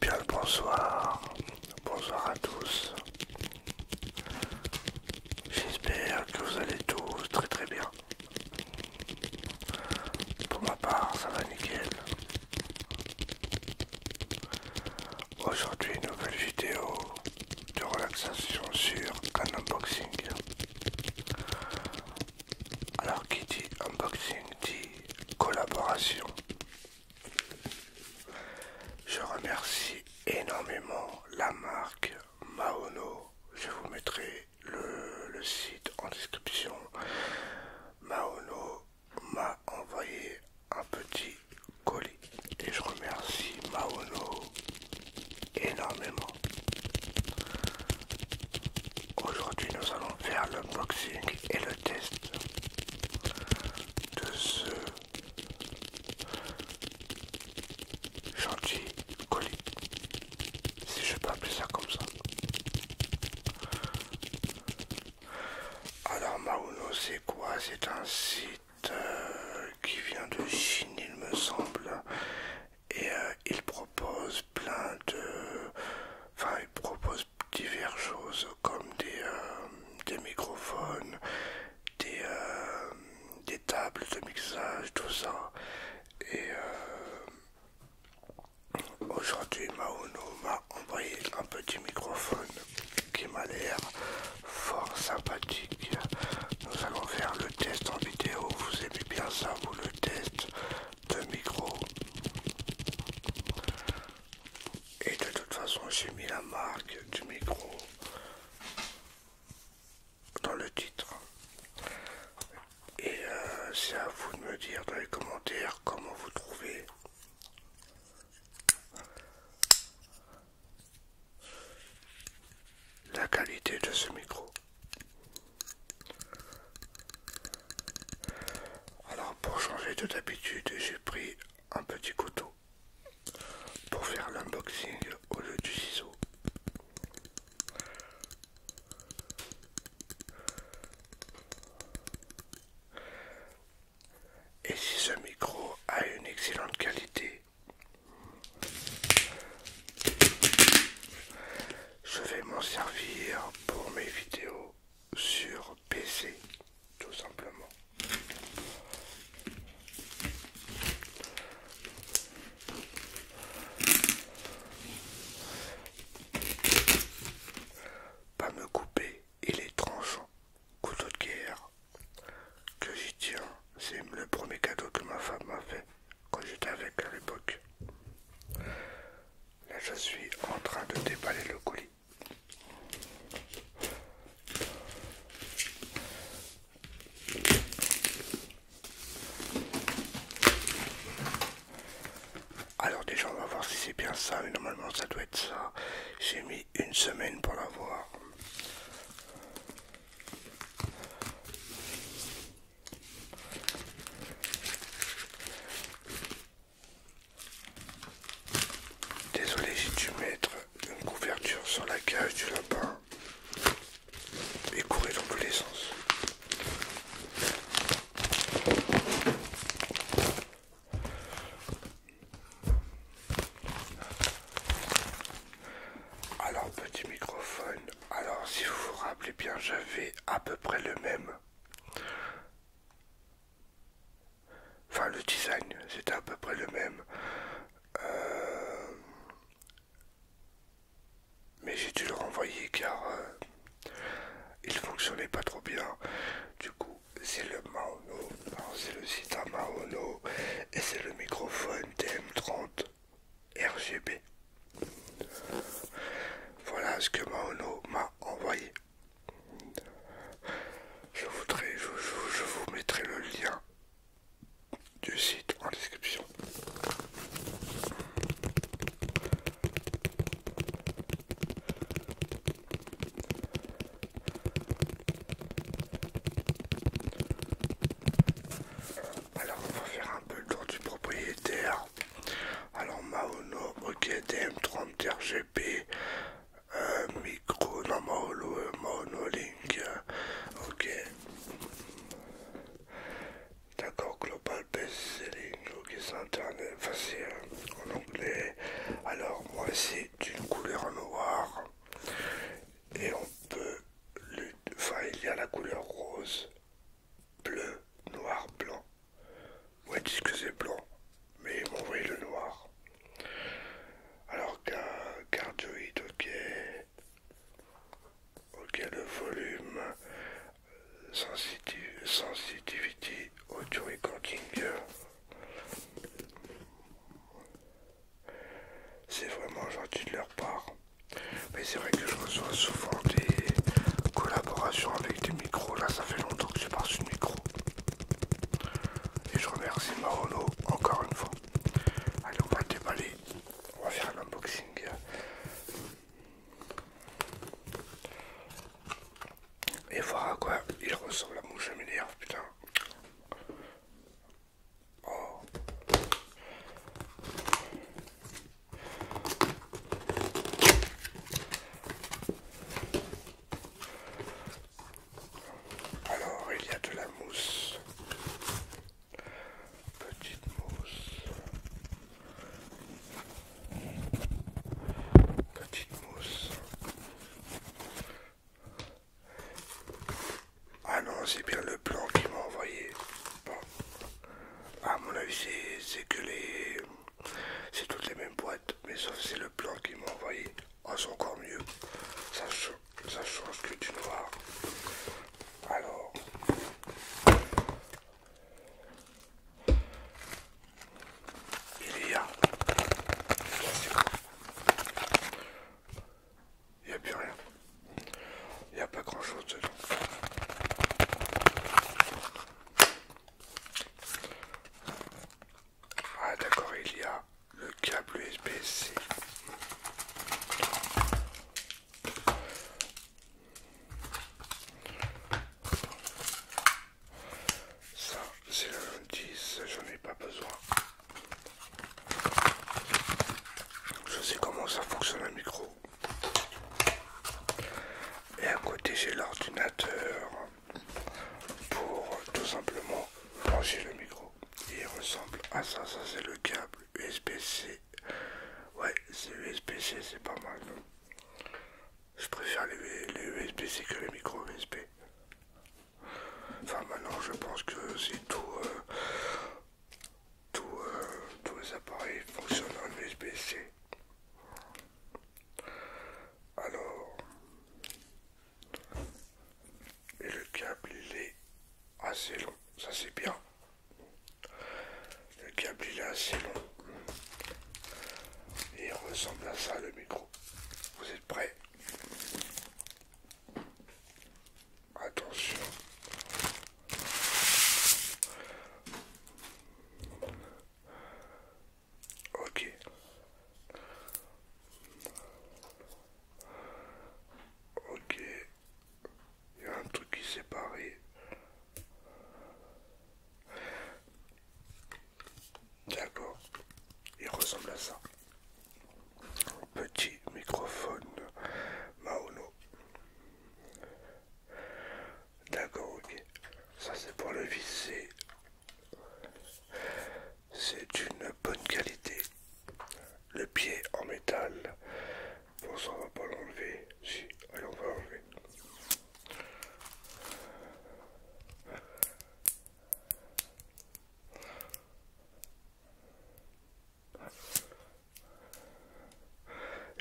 Bien le bonsoir, bonsoir à tous. J'espère que vous allez tous très très bien. Pour ma part, ça va nickel. Aujourd'hui, nouvelle vidéo de relaxation sur un unboxing. Alors qui dit unboxing dit collaboration. Je remercie énormément la marque Maono. Je vous mettrai le, le site en description. Maono m'a envoyé un petit colis Et je remercie Mauno énormément. Aujourd'hui, nous allons faire le boxing et le test de ce gentil colis. Si je peux appeler ça comme ça. Alors Mauno c'est quoi C'est un site euh, qui vient de Chine, il me semble, et euh, il propose plein de. Enfin, il propose diverses choses comme des, euh, des microphones, des, des tables de mixage, tout ça. Et aujourd'hui, Maono m'a envoyé un petit microphone qui m'a l'air fort sympathique. Nous allons faire le test en vidéo. Vous aimez bien ça, vous le test de micro. Et de toute façon, j'ai mis la marque du micro dans le titre. Et euh, c'est à vous de me dire dans les commentaires comment vous trouvez la qualité de ce micro. Alors pour changer de d'habitude, j'ai pris un petit couteau pour faire l'unboxing au lieu du ciseau. Et si ce micro a une excellente qualité, je vais m'en servir pour mes vidéos sur PC, tout simplement. Pas me couper et les tranchants, couteau de guerre, que j'y tiens. C'est le premier cadeau que ma femme m'a fait quand j'étais avec à l'époque. Là, je suis en train de déballer le colis. Alors déjà on va voir si c'est bien ça, mais normalement ça doit être ça. J'ai mis une semaine pour l'avoir. Désolé, j'ai dû mettre une couverture sur la cage du lapin et courir dans tous les sens. Alors petit microphone, alors si vous vous rappelez bien j'avais à peu près le même. Enfin le design, c'était à peu près le même. Euh, mais j'ai dû le renvoyer car euh, il fonctionnait pas trop bien. Du coup c'est le Maono, c'est le site à Maono et c'est le microphone TM30 RGB. Voilà ce que Maono m'a envoyé. Je, voudrais, je vous mettrai le lien du site en description. Alors, on va faire un peu le tour du propriétaire. Alors, Maono, ok, DM30 RGP, euh, micro, non, Maono, Maono Link, ok. D'accord, global c'est euh, en anglais. Alors moi c'est une couleur noire et on peut, enfin il y a la couleur rose, bleu, noir, blanc. Ouais, dis que c'est blanc, mais ils m'ont le noir. Alors qu'un cardioïde, ok, ok le volume sensitive, sensitivity audio recording. Euh. C'est vraiment gentil de leur part. Mais c'est vrai que je reçois souvent des collaborations avec des micros. Là, ça fait longtemps que je pas reçu de micro. Et je remercie Marolo encore une fois. Allez, on va déballer. On va faire un unboxing. Et voir à quoi il ressemble la mouche hein, putain. Oh. Alors il y a de la mousse, petite mousse, Petite mousse. Ah non, c'est bien le plan qui m'a envoyé. Bon. À mon avis, c'est que les. C'est toutes les mêmes boîtes, mais sauf c'est le plan qui m'a envoyé. Ah, encore mieux. Ça, ça change que du noir. Alors. Il y a... Il n'y a plus rien. Il n'y a pas grand chose dedans. Ah d'accord, il y a le câble USB-C. Ça, c'est le 10, j'en ai pas besoin. Je sais comment ça fonctionne un micro. Et à côté, j'ai l'ordinateur pour tout simplement brancher le micro. Il ressemble à ça, ça c'est le câble USB-C Ouais, c'est USB-C, c'est pas mal. je préfère les, USB-C que les micro USB. Enfin, maintenant, je pense que c'est tout. Euh, euh, tous les appareils fonctionnent en USB-C. Alors, le câble il est assez long, ça c'est bien. Le câble est assez long et il ressemble à ça le micro. Vous êtes prêts Attention. Ok. Ok. Il y a un truc qui s'est paré, D'accord. Il ressemble à ça. Petit microphone Maono. D'accord, ok. Ça c'est pour le visser. C'est d'une bonne qualité le pied en métal. Bon, ça on va pas l'enlever. Si, allez, on va l'enlever.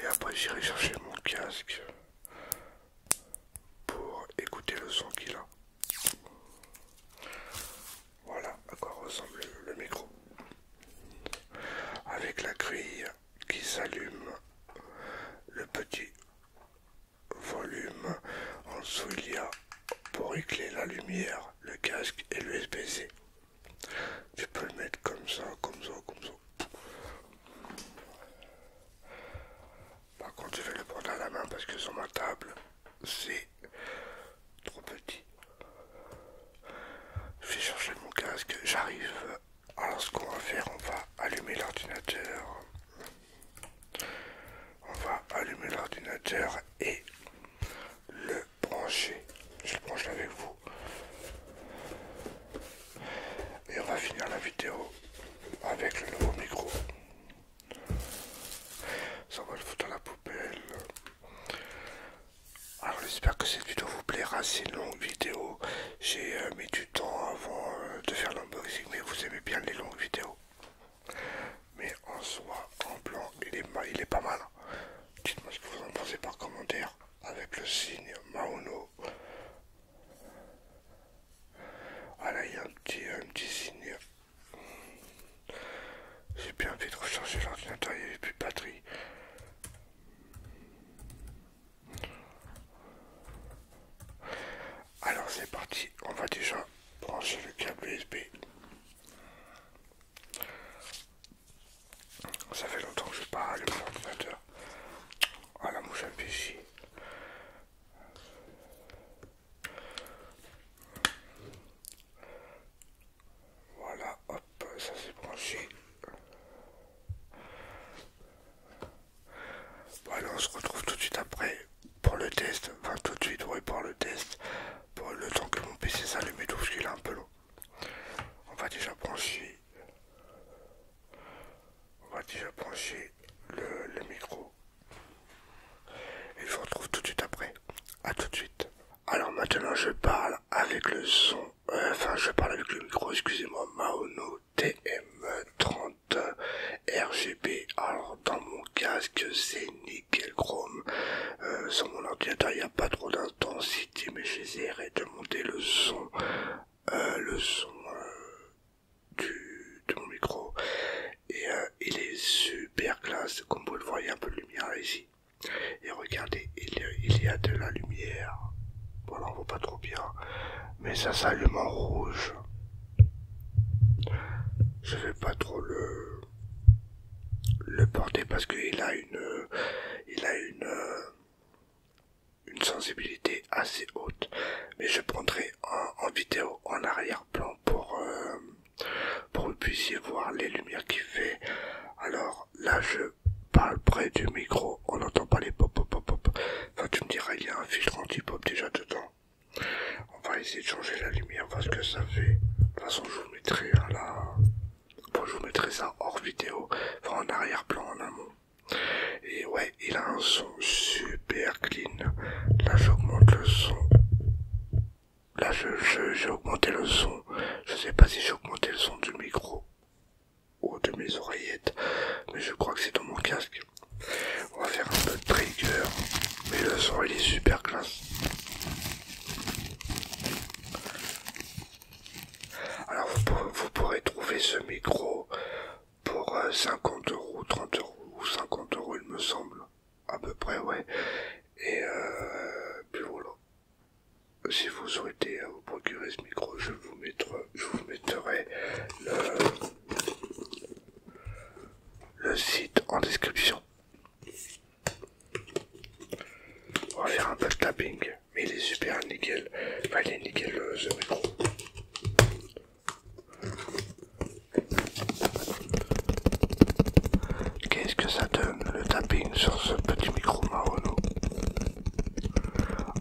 Et après, j'irai chercher mon casque pour écouter le son qu'il a. Voilà à quoi ressemble le micro avec la grille qui s'allume. Le petit volume en dessous il y a pour éclairer la lumière, le casque et le c Tu peux le mettre comme ça, comme ça, comme ça. Par contre, je vais le prendre à la main parce que sur ma table, c'est trop petit. Je vais chercher mon casque, j'arrive. Alors ce qu'on va faire, on va allumer l'ordinateur. On va allumer l'ordinateur et le brancher. Je le branche avec vous. Et on va finir la vidéo avec le nouveau micro. Ça va le foutre dans la poubelle. Alors ah, j'espère que cette vidéo vous plaira, c'est une longue vidéo. J'ai euh, mis du temps avant euh, de faire l'unboxing, mais vous aimez bien les longues vidéos. Mais en soi, en blanc, il est, il est pas mal. Dites-moi ce que vous en pensez par commentaire avec le signe Maono. Ah là, il y a un petit signe j'ai bien envie de recharger l'ordinateur, il n'y avait plus de batterie. Alors c'est parti, on va déjà brancher le câble USB. Ça fait longtemps que je pas allumé l'ordinateur. Ah la mouche péché. Voilà, hop, ça s'est branché. Voilà, on se retrouve tout de suite après pour le test. Enfin, tout de suite, oui, pour le test. Pour le temps que mon PC s'allume et tout, parce qu'il est un peu long. On va déjà brancher. On va déjà brancher le micro. Et je vous retrouve tout de suite après. à tout de suite. Alors maintenant je parle avec le son. Euh, enfin je parle avec le micro, excusez-moi, Maono TM30 RGB. Alors dans mon casque c'est nickel chrome. Euh, sur mon ordinateur il n'y a pas trop d'intensité mais j'essaierai de monter le son. Euh, le son du, micro et euh, il est super classe comme vous le voyez un peu de lumière ici et regardez il, y a de la lumière voilà on voit pas trop bien mais ça s'allume en rouge je vais pas trop le le porter parce qu'il a une euh, il a euh, une sensibilité assez haute mais je prendrai en vidéo en arrière plan pour, euh, pour que vous puissiez voir les lumières qu'il fait. Alors là, je parle près du micro, on n'entend pas les pop pop pop pop. Enfin, tu me diras, il y a un filtre anti-pop déjà dedans. On va essayer de changer la lumière, voir ce que ça fait. De toute façon, je vous mettrai hein, à la... je vous mettrai ça hors vidéo, enfin en arrière-plan, en amont. Et ouais, il a un son super clean. Là, j'augmente le son. Là, j'ai je, augmenté le son. Je sais pas si j'ai augmenté le son du micro ou de mes oreillettes, mais je crois que c'est dans mon casque. On va faire un peu de trigger, mais le son il est super classe. Alors vous, vous pourrez trouver ce micro pour 50 euh, euros, 30 euros ou 50 euros il me semble à peu près, ouais. Et euh, puis voilà. Si vous souhaitez hein, vous procurer ce micro, je vous mettrai, je vous le, site en description. On va faire un peu de tapping, mais il est super nickel. Enfin, il est nickel euh, ce micro. Qu'est-ce que ça donne le tapping sur ce petit micro marron?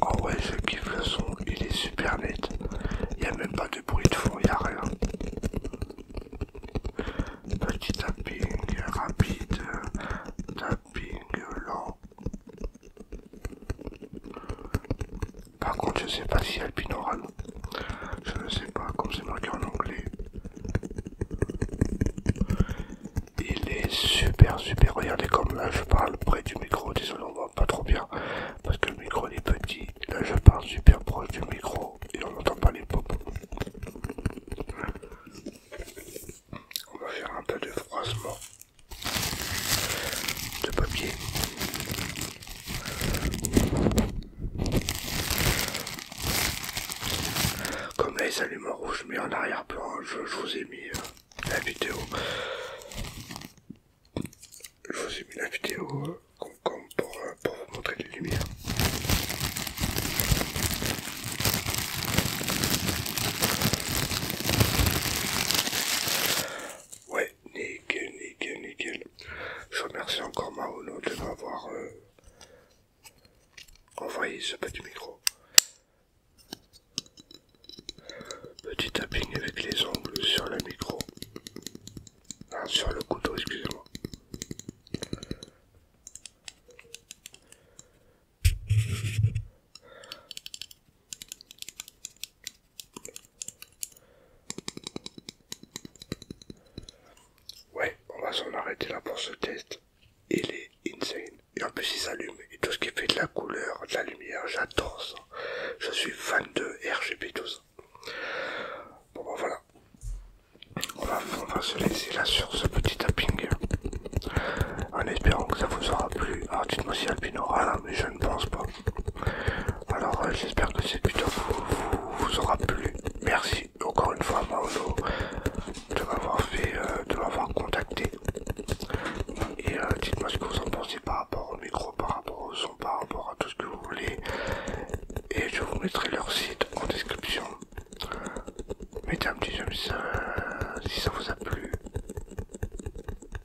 Oh ouais, je kiffe le son, il est super net. Il n'y a même pas de bruit de fond, il n'y a rien. Petit tapping rapide, tapping lent. Par contre, je sais pas si elle oral Je ne sais pas, comme c'est marqué en anglais. Il est super, super. Regardez comme là je parle près du micro. Désolé, on voit pas trop bien parce que le micro est petit. Là je parle super proche du micro et on n'entend pas les pop. On va faire un peu de froissement de papier. Comme les allumes en rouge, mais en arrière-plan, je, vous ai mis euh, la vidéo. Je vous ai mis la vidéo euh, euh, pour, vous montrer les lumières nickel, nickel, nickel. Je remercie encore Maono de m'avoir euh, envoyé ce petit micro. Petit tapping avec les ongles sur le micro. Ah, sur le couteau, excusez-moi. Ouais, on va s'en arrêter là pour ce test. Il est insane. Et en plus, il s'allume. Et tout ce qui fait de la couleur, de la lumière, j'adore ça. Je suis fan de RGB, tout Bon, bah, voilà. On va, se laisser là sur ce petit tapping. En espérant que ça vous aura plu. Alors, dites-moi si Alpine hein, mais je ne pense pas. Alors euh, j'espère que cette vidéo vous, aura plu. Merci encore une fois à de m'avoir fait, euh, de m'avoir contacté. Et euh, dites-moi ce que vous en pensez par rapport au micro, par rapport au son, par rapport à tout ce que vous voulez. Et je vous mettrai leur site en description. Mettez un petit j'aime si ça vous a plu